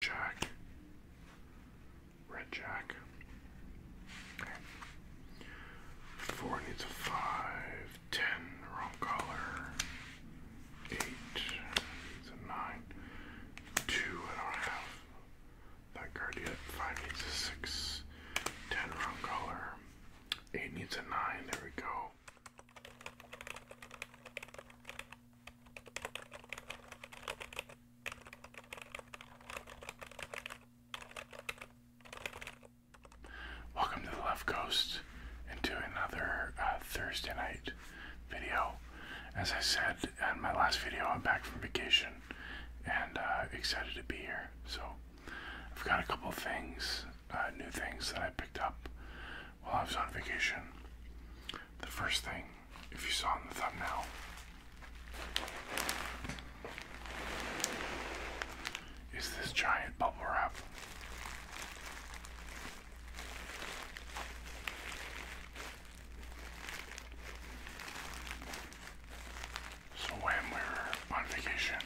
Jack. Red Jack. Four needs a five. Ten, wrong color. Eight needs a nine. Two, I don't have that card yet. Five needs a six. Ten, wrong color. Eight needs a nine. There we go. Welcome to the Left Coast and to another uh, Thursday night video. As I said in my last video, I'm back from vacation and uh, excited to be here. So I've got a couple things, uh, new things that I picked up while I was on vacation. The first thing if you saw in the thumbnail. Is this giant bubble wrap? So, when we were on vacation,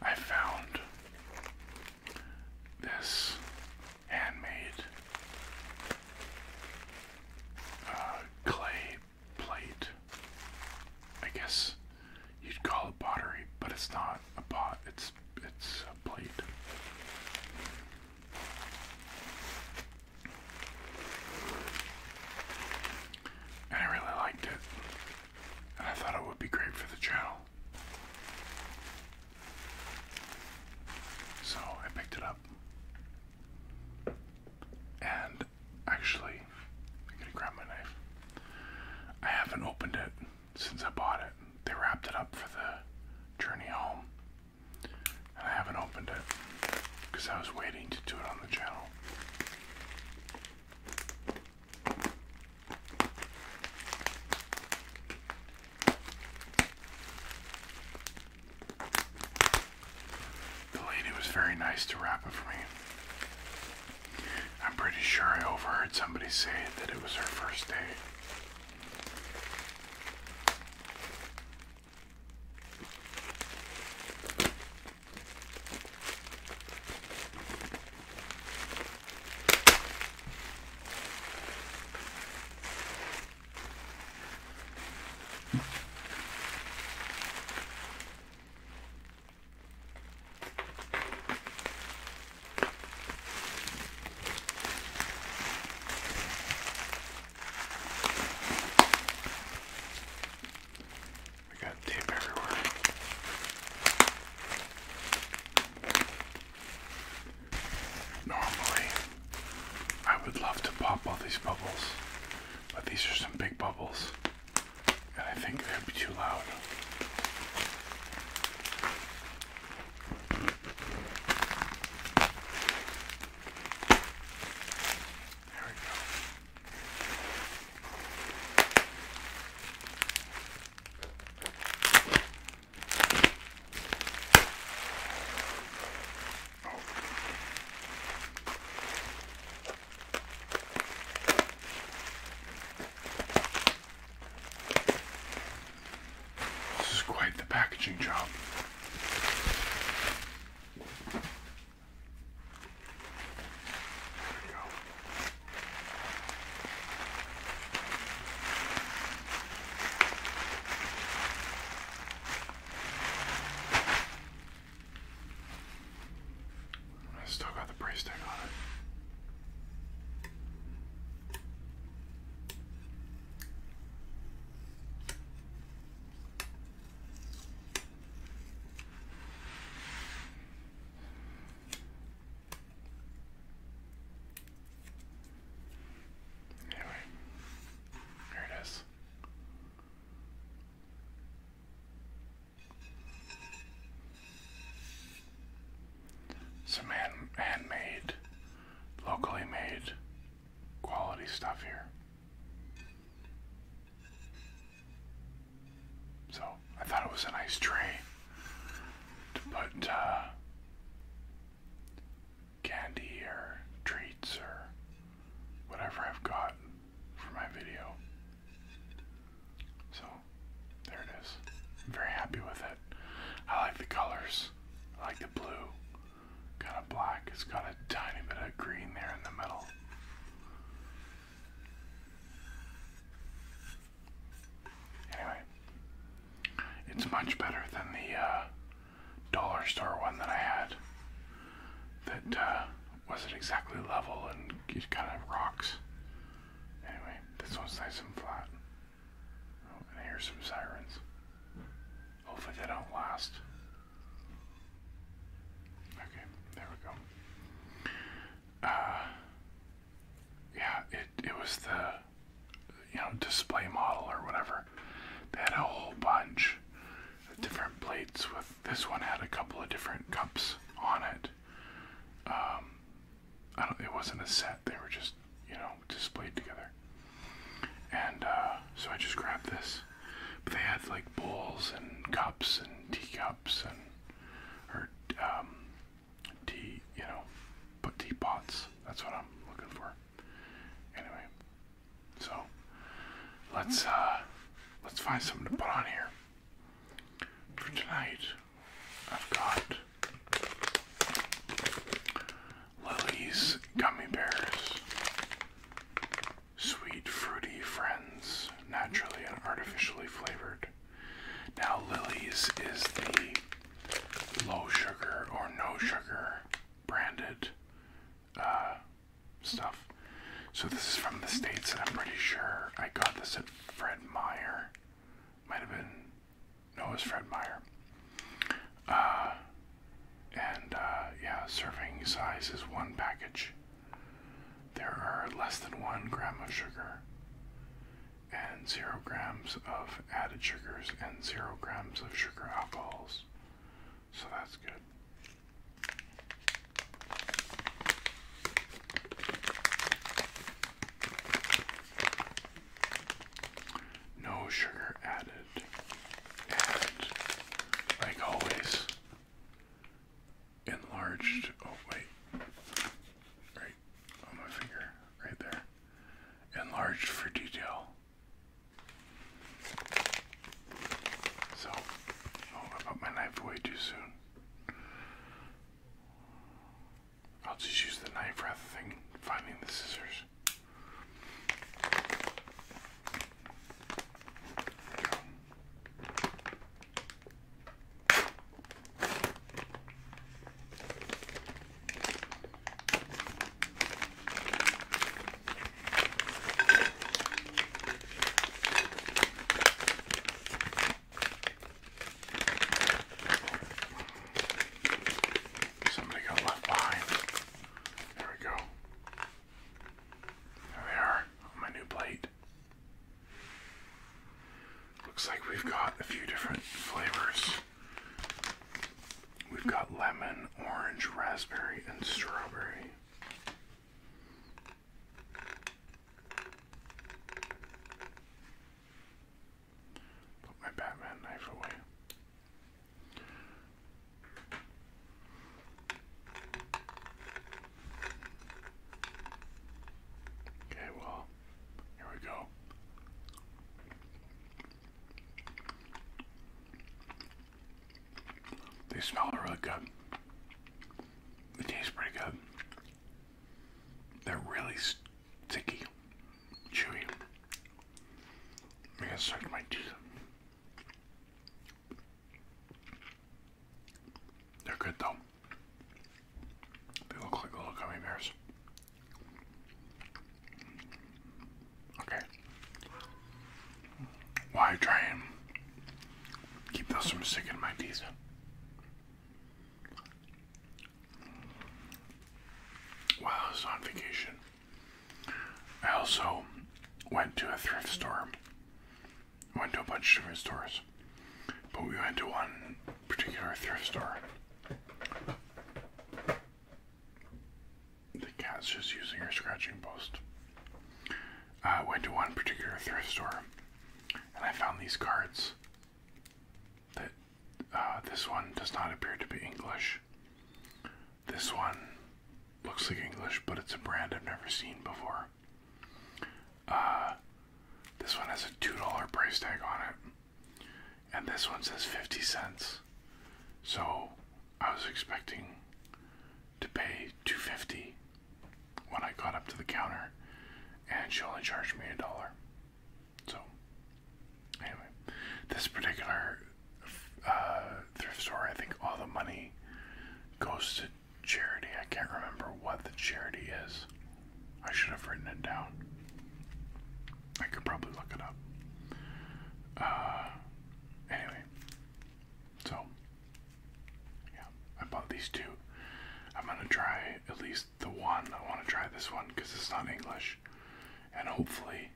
I found this handmade uh, clay plate. I guess you'd call it pottery, but it's not a pot. It's it's a plate. And I really liked it. And I thought it would be great for the channel. So I picked it up. And actually, I'm gonna grab my knife. I haven't opened it since I bought it. They wrapped it up for the journey home. And I haven't opened it because I was waiting to do it on the channel. The lady was very nice to wrap it for me. I'm pretty sure I overheard somebody say that it was her first day. We got tape everywhere. Normally, I would love to pop all these bubbles, but these are some big bubbles, and I think they'd be too loud. There we go. This is quite the packaging job. There we go. I still got the price tag on it. Anyway, here it is. Some hand handmade, locally made, quality stuff here. So I thought it was a nice tray to uh, candy or treats or whatever I've got for my video. So there it is. I'm very happy with it. I like the colors. I like the blue. Kind of black. It's got a tiny bit of green there in the middle. Anyway, it's much better than the uh, dollar store one that I had that uh, wasn't exactly level and it kind of rocks. Anyway, this one's nice and flat. Oh, and here's some sirens. Hopefully they don't last. Okay, there we go. Uh, yeah, it, it was the you know, display model or whatever. They had a whole bunch of different plates with this one had a couple of different cups on it. Um, I don't, it wasn't a set, they were just, you know, displayed together. And uh, so I just grabbed this. But they had like bowls and cups and teacups and, or um, tea, you know, but teapots. That's what I'm looking for. Anyway, so let's uh, let's find something to put on here. For tonight, I've got Lily's gummy bears, sweet fruity friends, naturally and artificially flavored. Now, Lily's is the low sugar or no sugar branded uh, stuff. So this is from the States, and I'm pretty sure I got this at Fred Meyer. Might have been, no, it Fred Meyer. Uh, and uh, yeah, serving size is one package. There are less than one gram of sugar and zero grams of added sugars and zero grams of sugar alcohols. So that's good. No sugar added. And, like always, enlarged. Oh, wait. Right on my finger, right there. Enlarged for detail. So, I put my knife away too soon. I'll just use the knife rather than finding the scissors. Somebody got left behind. There we go. There they are on my new plate. Looks like we've got a few different flavors. We've got lemon, orange, raspberry, and strawberry. Put my Batman knife away. Okay, well, here we go. They smell really good. They taste pretty good. They're really sticky, chewy. I am gonna suck my teeth. They're good though. They look like little gummy bears. Okay. Why try and keep those from sticking in my teeth? While I was on vacation, I also went to a thrift store. Went to a bunch of different stores, but we went to one particular thrift store. The cat's just using her scratching post. I uh, went to one particular thrift store and I found these cards that uh, this one does not appear to be English. This one looks like English, but it's a brand I've never seen before. Uh, this one has a $2 price tag on it and this one says 50 cents. So I was expecting to pay 250 when I got up to the counter and she only charged me a dollar. So anyway, this particular uh, thrift store, I think all the money goes to charity. I can't remember what the charity is. I should have written it down. I could probably look it up. Uh, anyway, so yeah, I bought these two. I'm gonna try at least the one. I want to try this one because it's not English, and hopefully,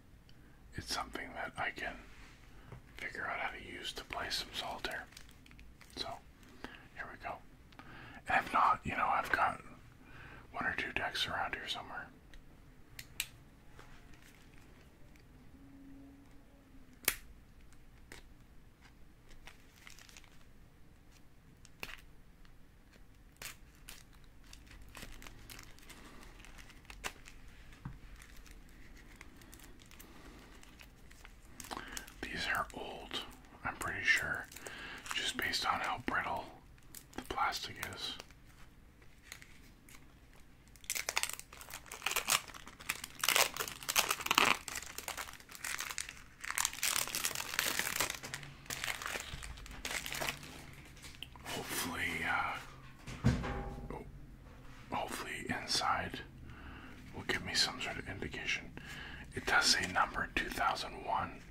it's something that I can figure out how to use to play some solitaire. So here we go. And if not, you know, I've got one or two decks around here somewhere. These are old, I'm pretty sure, just based on how brittle the plastic is. Hopefully, uh, oh, hopefully inside will give me some sort of indication. It does say number 2001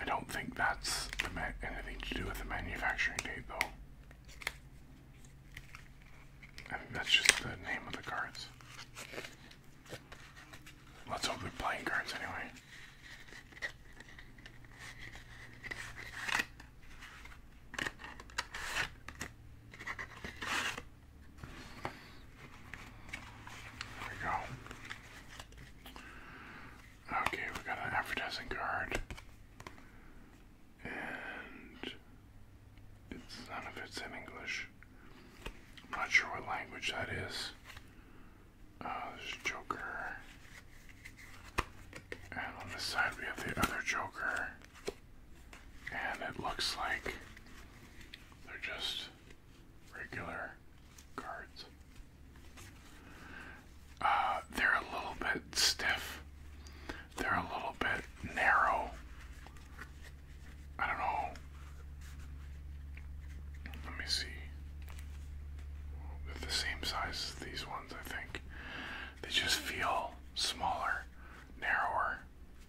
I don't think that's anything to do with the manufacturing date, though. that's just the name of the cards. Let's hope they're playing cards anyway. There we go. Okay, we got an advertising card. And it's none of it's in English. not sure what language that is. Uh, there's Joker. And on this side we have the other Joker. And it looks like they're just regular cards. Uh, they're a little bit stiff. They're a little bit narrow. I don't know. Let me see. They're the same size as these ones, I think. They just feel smaller, narrower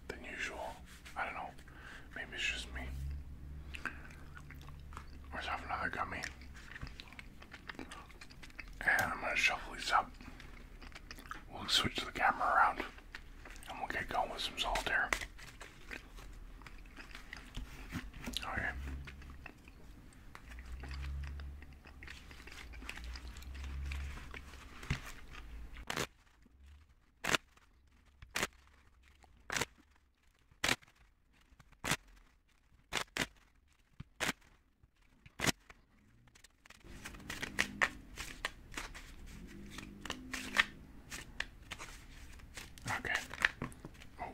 than usual. I don't know. Maybe it's just me. Let's another gummy. And I'm going to shuffle these up. We'll switch the camera around and we'll get going with some solitaire. Okay. Okay. Oh.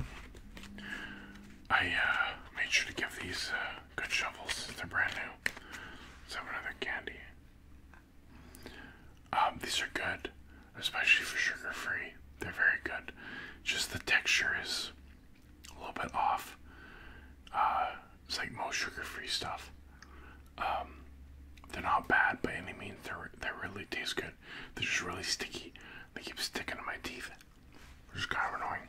I uh, made sure to give these uh, good shovels. They're brand new. Let's another candy. Um, these are good, especially for sugar-free. They're very good. Just the texture is a little bit off. Uh, it's like most sugar-free stuff. Um, they're not bad by any means. They're they really taste good. They're just really sticky. They keep sticking to my teeth. Which is kind of annoying.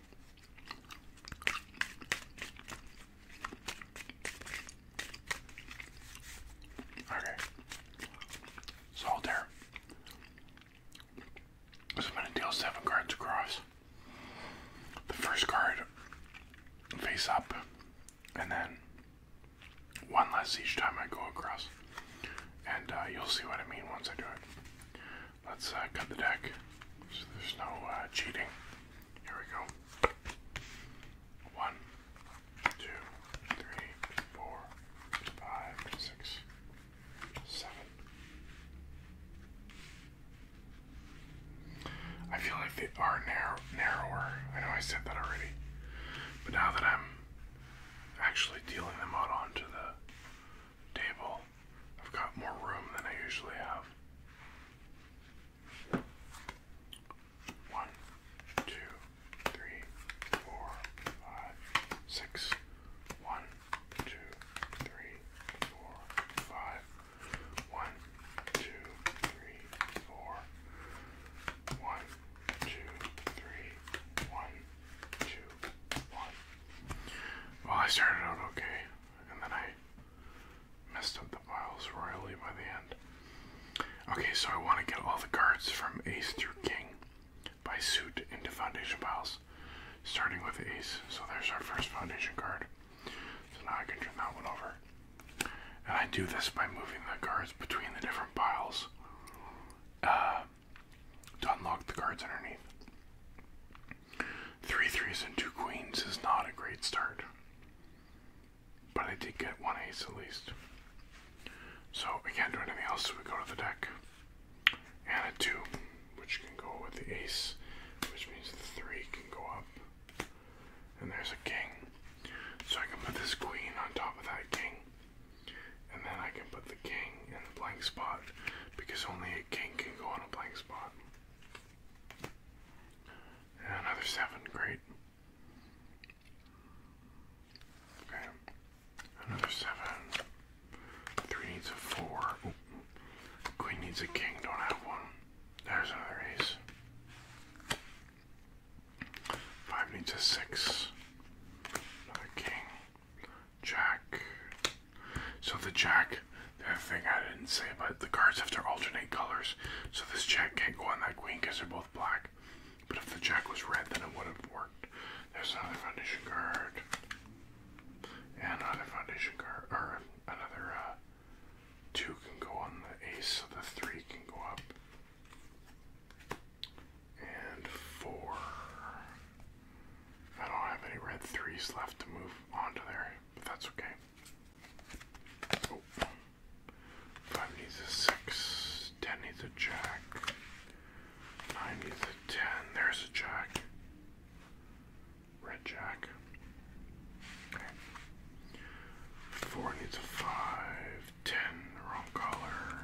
Okay. Salt there. So I'm going to deal seven cards across. The first card face up, and then one less each time I go across. And uh, you'll see what I mean once I do it. Let's uh, cut the deck so there's no uh, cheating. Here we go. One, two, three, four, five, six, Seven. I feel like they are narrow, narrower. I know I said that already, but now that I'm actually dealing them out onto the table, I've got more room than I usually have two, three, four, five. One, two, three, four. One, two, three, one, two, one. Well, I started out okay, and then I messed up the piles royally by the end. Okay, so I want to get all the cards from ace through king by suit into foundation piles, starting with ace. So there's our first foundation card. So now I can turn that one over. And I do this by moving the cards between the different piles uh, to unlock the cards underneath. Three threes and two queens is not a great start. But I did get one ace at least. So we can't do anything else, so we go to the deck and a 2, which can go with the ace, which means the 3 can go up. And there's a king. So I can put this queen on top of that king. And then I can put the king in the blank spot, because only a king can go on a blank spot. And another 7, great. Okay. Another seven. Three needs a four. Queen needs a king. Don't have one. There's another ace. Five needs a six. Another king. Jack. So the jack, the thing I didn't say, but the cards have to alternate colors. So this jack can't go on that queen because they're both black. But if the jack was red, then it would have worked. There's another foundation card. And another foundation card. Or another uh, two can go on the ace, so the three can go up. And four. I don't have any red threes left to move onto there, but that's okay. Oh. Five needs a six. Ten needs a jack. Nine needs a 10. There's a jack. Red jack. Four needs a five. Ten, wrong color.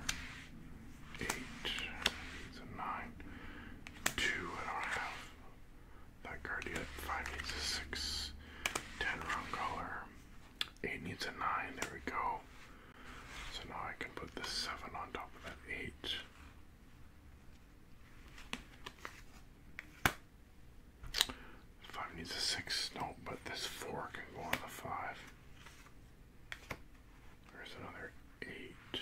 Eight needs a nine. Two, I don't have that card yet. Five needs a six. Ten, wrong color. Eight needs a nine. There we go. So now I can put this 7 on top of that 8. Five needs a six. No, but this four can go on the five. There's another eight.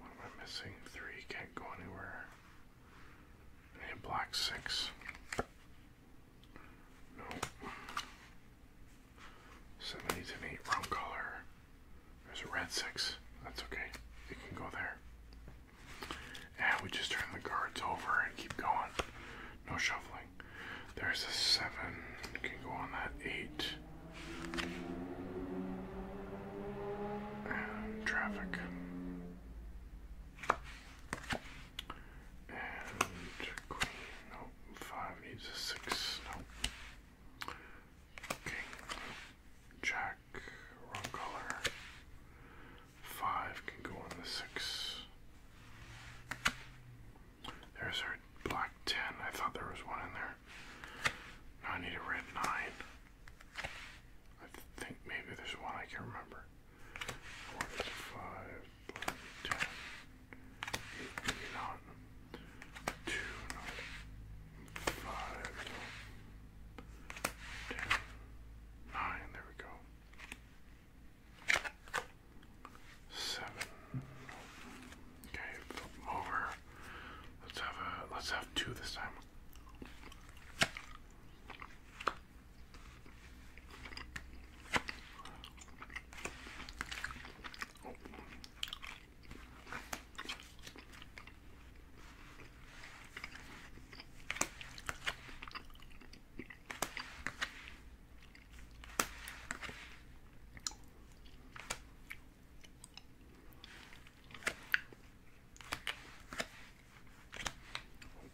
What am I missing? Three can't go anywhere. I a black six. No. Seven, eight's an eight, wrong color. There's a red six. That's okay. It can go there. And we just turn the cards over and keep going. No shuffling. There's a seven. It can go on that eight. traffic. And queen. Nope. Five needs a six. Nope. King, Jack, wrong color. Five can go on the six. There's our black ten. I thought there was one in there. Now I need a red nine. I think maybe there's one I can remember. Four, five, black ten eight there we go seven okay over let's have a let's have two this time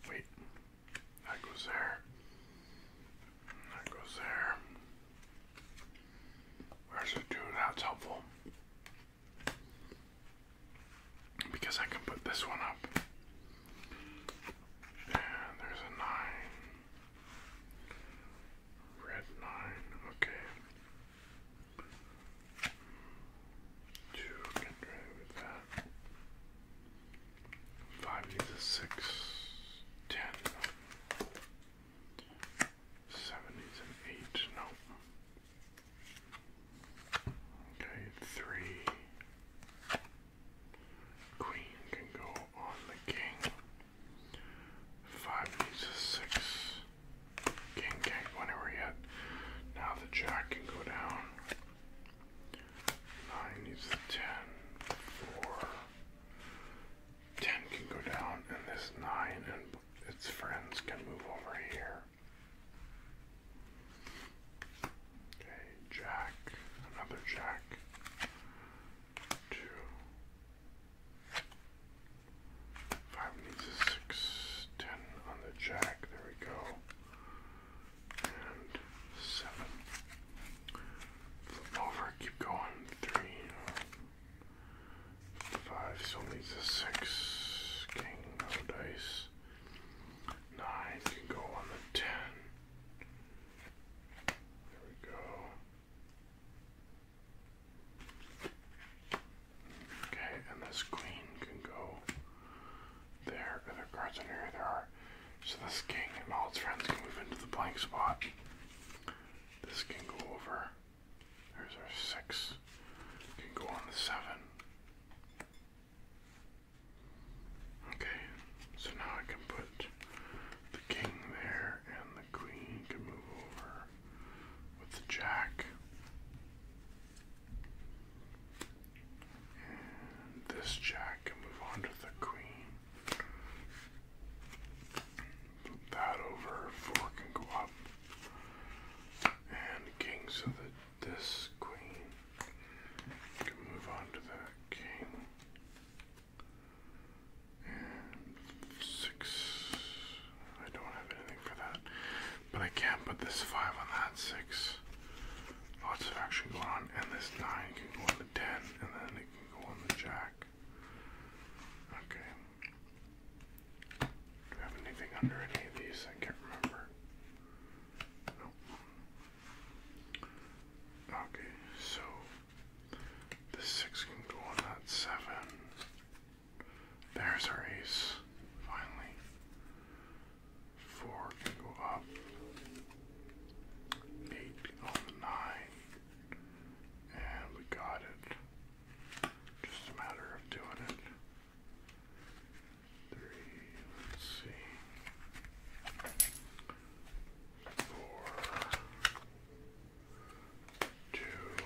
Wait, that goes there. That goes there. There's a two, that's helpful. Because I can put this one up. And there's a nine. Red nine, okay. Two can drive with that. Five needs a six seventies and eight, no. Okay, three. Queen can go on the king. Five needs a six. King can't yet. Now the jack can go down. Nine needs a ten. Four. 10 can go down, and this 9 and its friends can move over here. Okay, jack, another jack. Two. Five needs a six, ten on the jack, there we go. And seven. Flip over, keep going. Three, five, still needs a six. King, no dice. Nine can go on the ten. There we go. Okay, and this queen can go there. Other cards in here there are. So this king and all its friends can move into the blank spot. This can go over. There's our six. Can go on the seven. Okay, so now I can put the king there and the queen can move over with the jack. And this jack can move on to the queen. Put that over, four can go up. And king so that this queen can move on to the king. And six. I don't have anything for that. But I can't put this five on that six. Lots of action going on. And this nine can go on the ten. And then it can go on the jack. Okay. Do we have anything under any of these? I can't remember. Nope. Okay, so the six can go on that seven. There's our ace, finally. Four can go up. Eight on the nine. And we got it. Just a matter of doing it. Three, let's see. Four, two,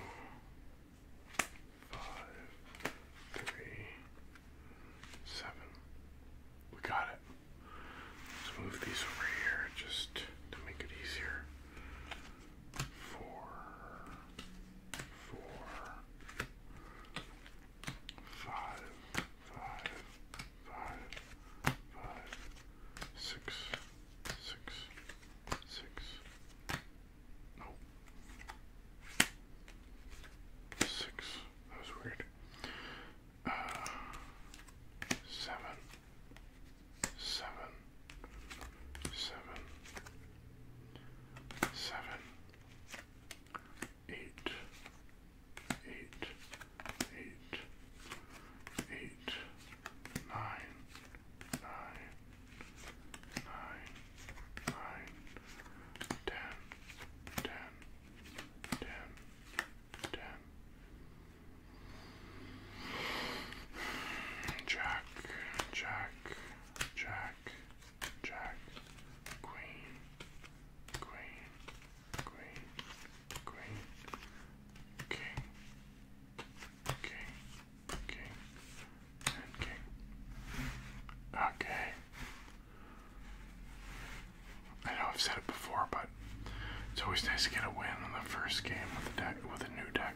five, three, seven. We got it. Let's move these over here just to make it easier. Four, four, five, five, five, five, six, six, six. No. Six. That was weird. Uh, seven seven, seven, seven, eight, eight, eight, eight, nine, nine, nine, nine, ten, ten, ten, ten. 10 Jack, Jack, Jack, Jack, Queen, Queen, Queen, Queen, King, King, King, and King. Okay. I know I've said it before, but it's always nice to get a win on the first game with a deck with a new deck.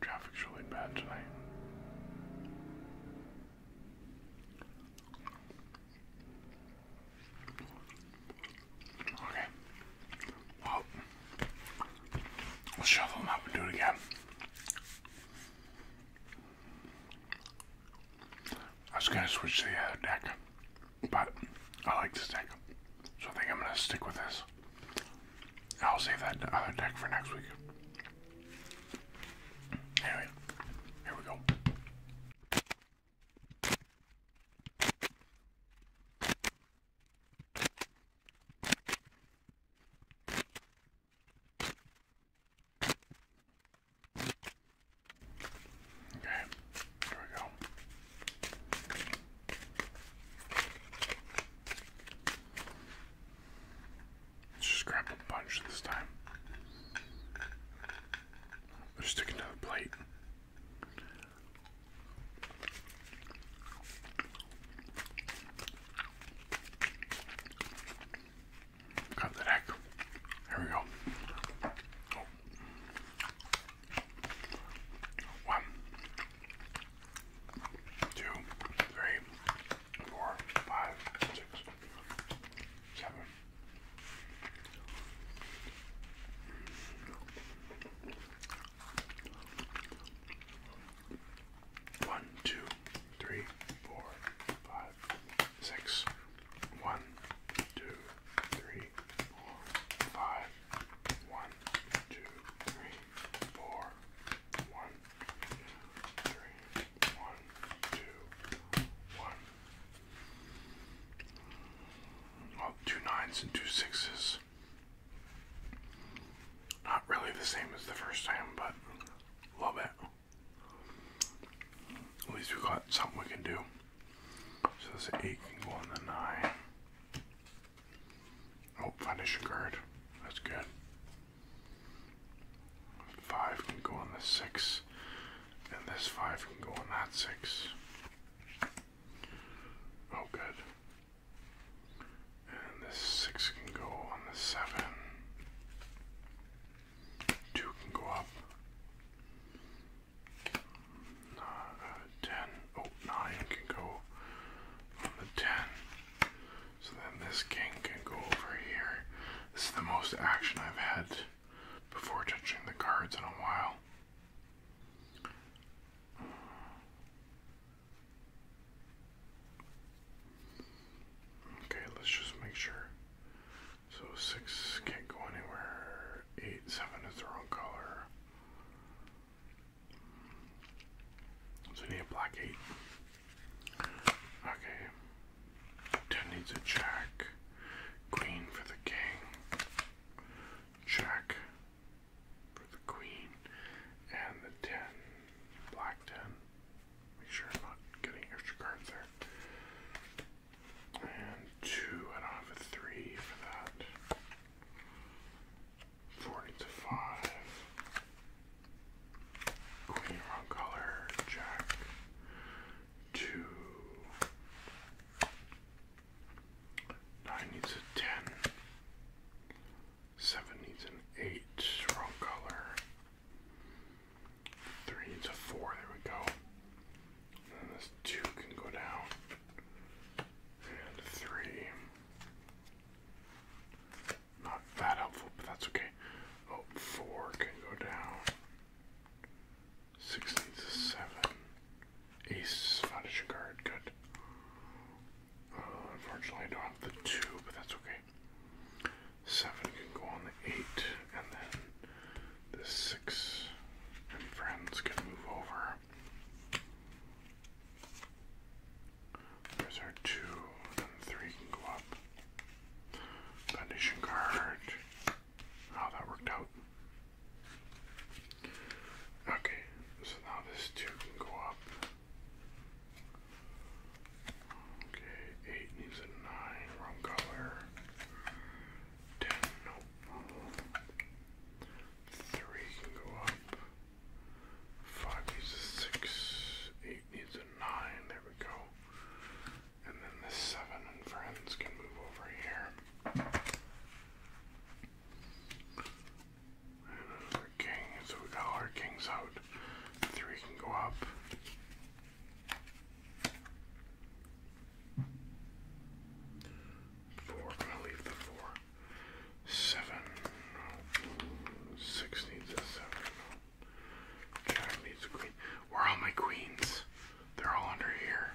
Traffic's really bad tonight. Okay. Well, we'll shovel them up and do it again. I was going to switch to the other uh, deck, but I like this deck, so I think I'm going to stick with this. I'll save that other deck for next week. here we go. Okay, here we go. Let's just grab a bunch this time. They're sticking to plate. Cut the neck. Here we go. Oh. One, two, three, four, five, six, seven. One, two, three, four, five, six. One, two, three, four, five. One, two, three, four. One, two, three, one, two, one. Well, two nines and two sixes. Not really the same as the first time, but love it. At least we got something we can do. So this 8 can go on the 9. Oh, finish your card. That's good. 5 can go on the 6. And this 5 can go on that 6. Oh, good. And this six can go on the seven. Two can go up. Uh, can go on the ten. So then this king can go over here. This is the most action I've had before touching the cards in a while. Okay, let's just make sure. So six can't go anywhere. Eight, seven is the wrong color. So need a black eight. Okay. Ten needs a jack. Queen for the king. Jack for the queen. And the ten black 10. Make sure I'm not getting extra cards there. And two, I don't have a three for that. Four needs a five. Queen wrong color, jack. Two. Nine needs a ten. Seven needs an eight, wrong color. Three needs a four, there we go. And this two can go down. And three. Not that helpful, but that's okay. Oh, four can go down. Six needs a seven. Ace is not card, good. Uh, unfortunately, I don't have the two, but that's okay. Seven can go on the eight, and then the six and friends can move over. There's our two, and three can go up. Foundation card. How that worked out. Okay, so now this two can go up. Okay, eight needs a nine, wrong color. Ten, nope. Three can go up. Five needs a six. Eight needs a nine. There we go. And then the seven and friends can move over here. And king, so we got our kings out. Three can go up. Four, I'm gonna leave the four. Seven, Six needs a seven. Jack needs a queen. Where are all my queens? They're all under here.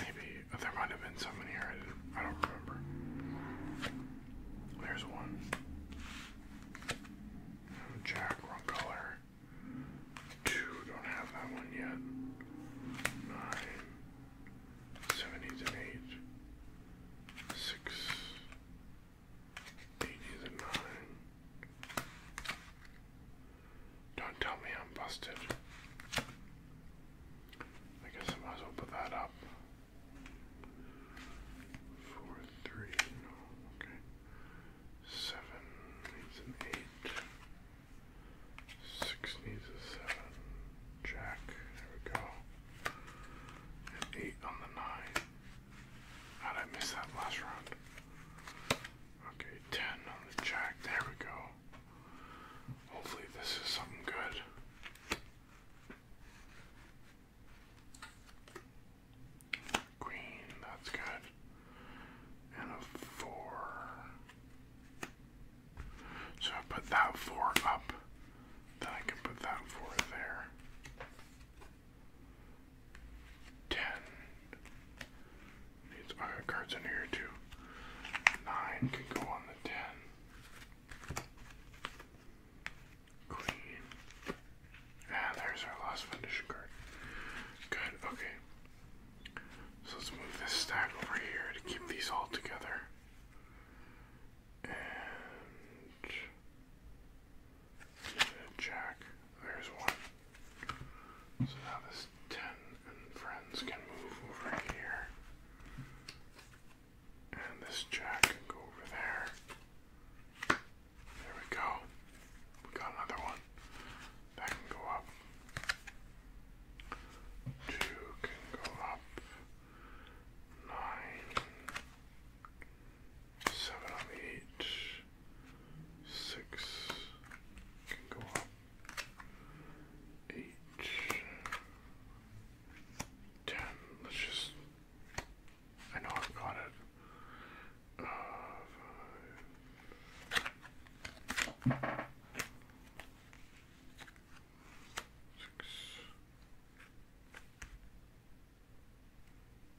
Maybe there might have been some here. I don't remember. There's one. Jack, wrong color. Two, don't have that one yet. Nine, seven, eight, and eight. Six, and nine. Don't tell me I'm busted. I guess I might as well put that up. Four, three, no, okay. Seven needs an eight. Six needs a seven. Jack, there we go. An eight on the nine. did I miss that last round? Okay, ten on the jack, there we go. Hopefully this is something good. Queen, that's good. And a four. So I put that four up. Then I can put that four there. Ten. Needs I cards in here too. Nine can go on the ten. Queen. Ah, there's our last foundation card. Good, okay. So let's move this stack over here to keep these all together. And Jack, there's one. So now this 10 and friends can move over here. And this jack can go over there. There we go. We got another one. That can go up. Two can go up. Nine. can go up. Eight. 10. Let's just. I know I've got it. Uh, five, six.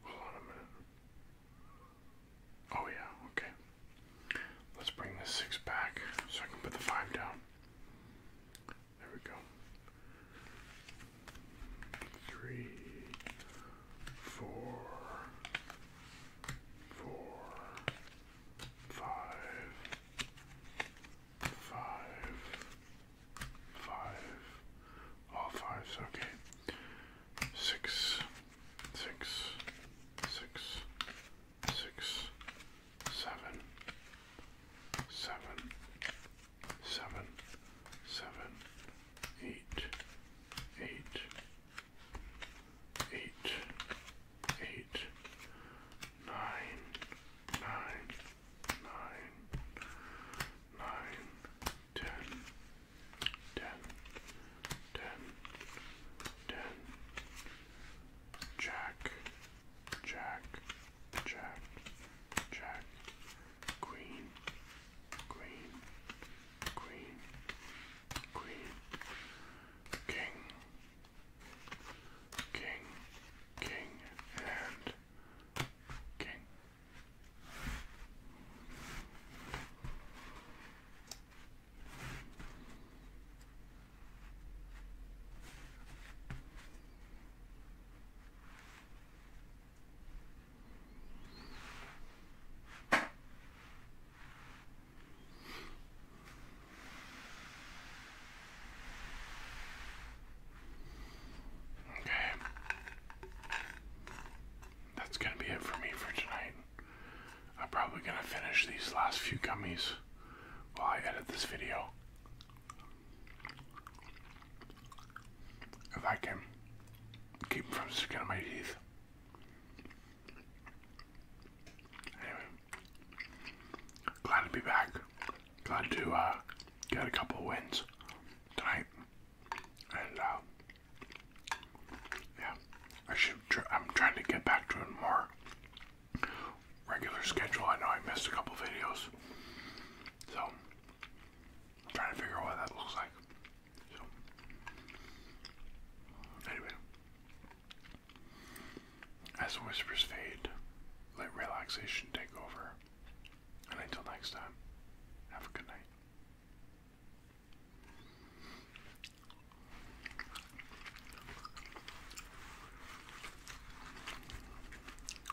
Hold on a minute. Oh, yeah, okay. Let's bring this six back so I can put the five down. There we go. Three, four, four, five, five, five, all fives, okay. Six, six, six, six, seven, seven, seven, seven, eight, eight, eight, eight, nine, nine, nine, nine, ten, ten, ten, ten, jack, jack. Jack, Jack, Queen, Queen, Queen, Queen, King, King, King, and King. Okay. That's going to be it for me for tonight. I'm probably going to finish these last few gummies while I edit this video. If I can keep from sticking my teeth. Anyway, glad to be back. Glad to uh, get a couple wins tonight. And uh, yeah, I should. I'm trying to get back to it more regular schedule. I know I missed a couple videos, so I'm trying to figure out what that looks like. So, anyway, as the whispers fade, let relaxation take over. And until next time, have a good night.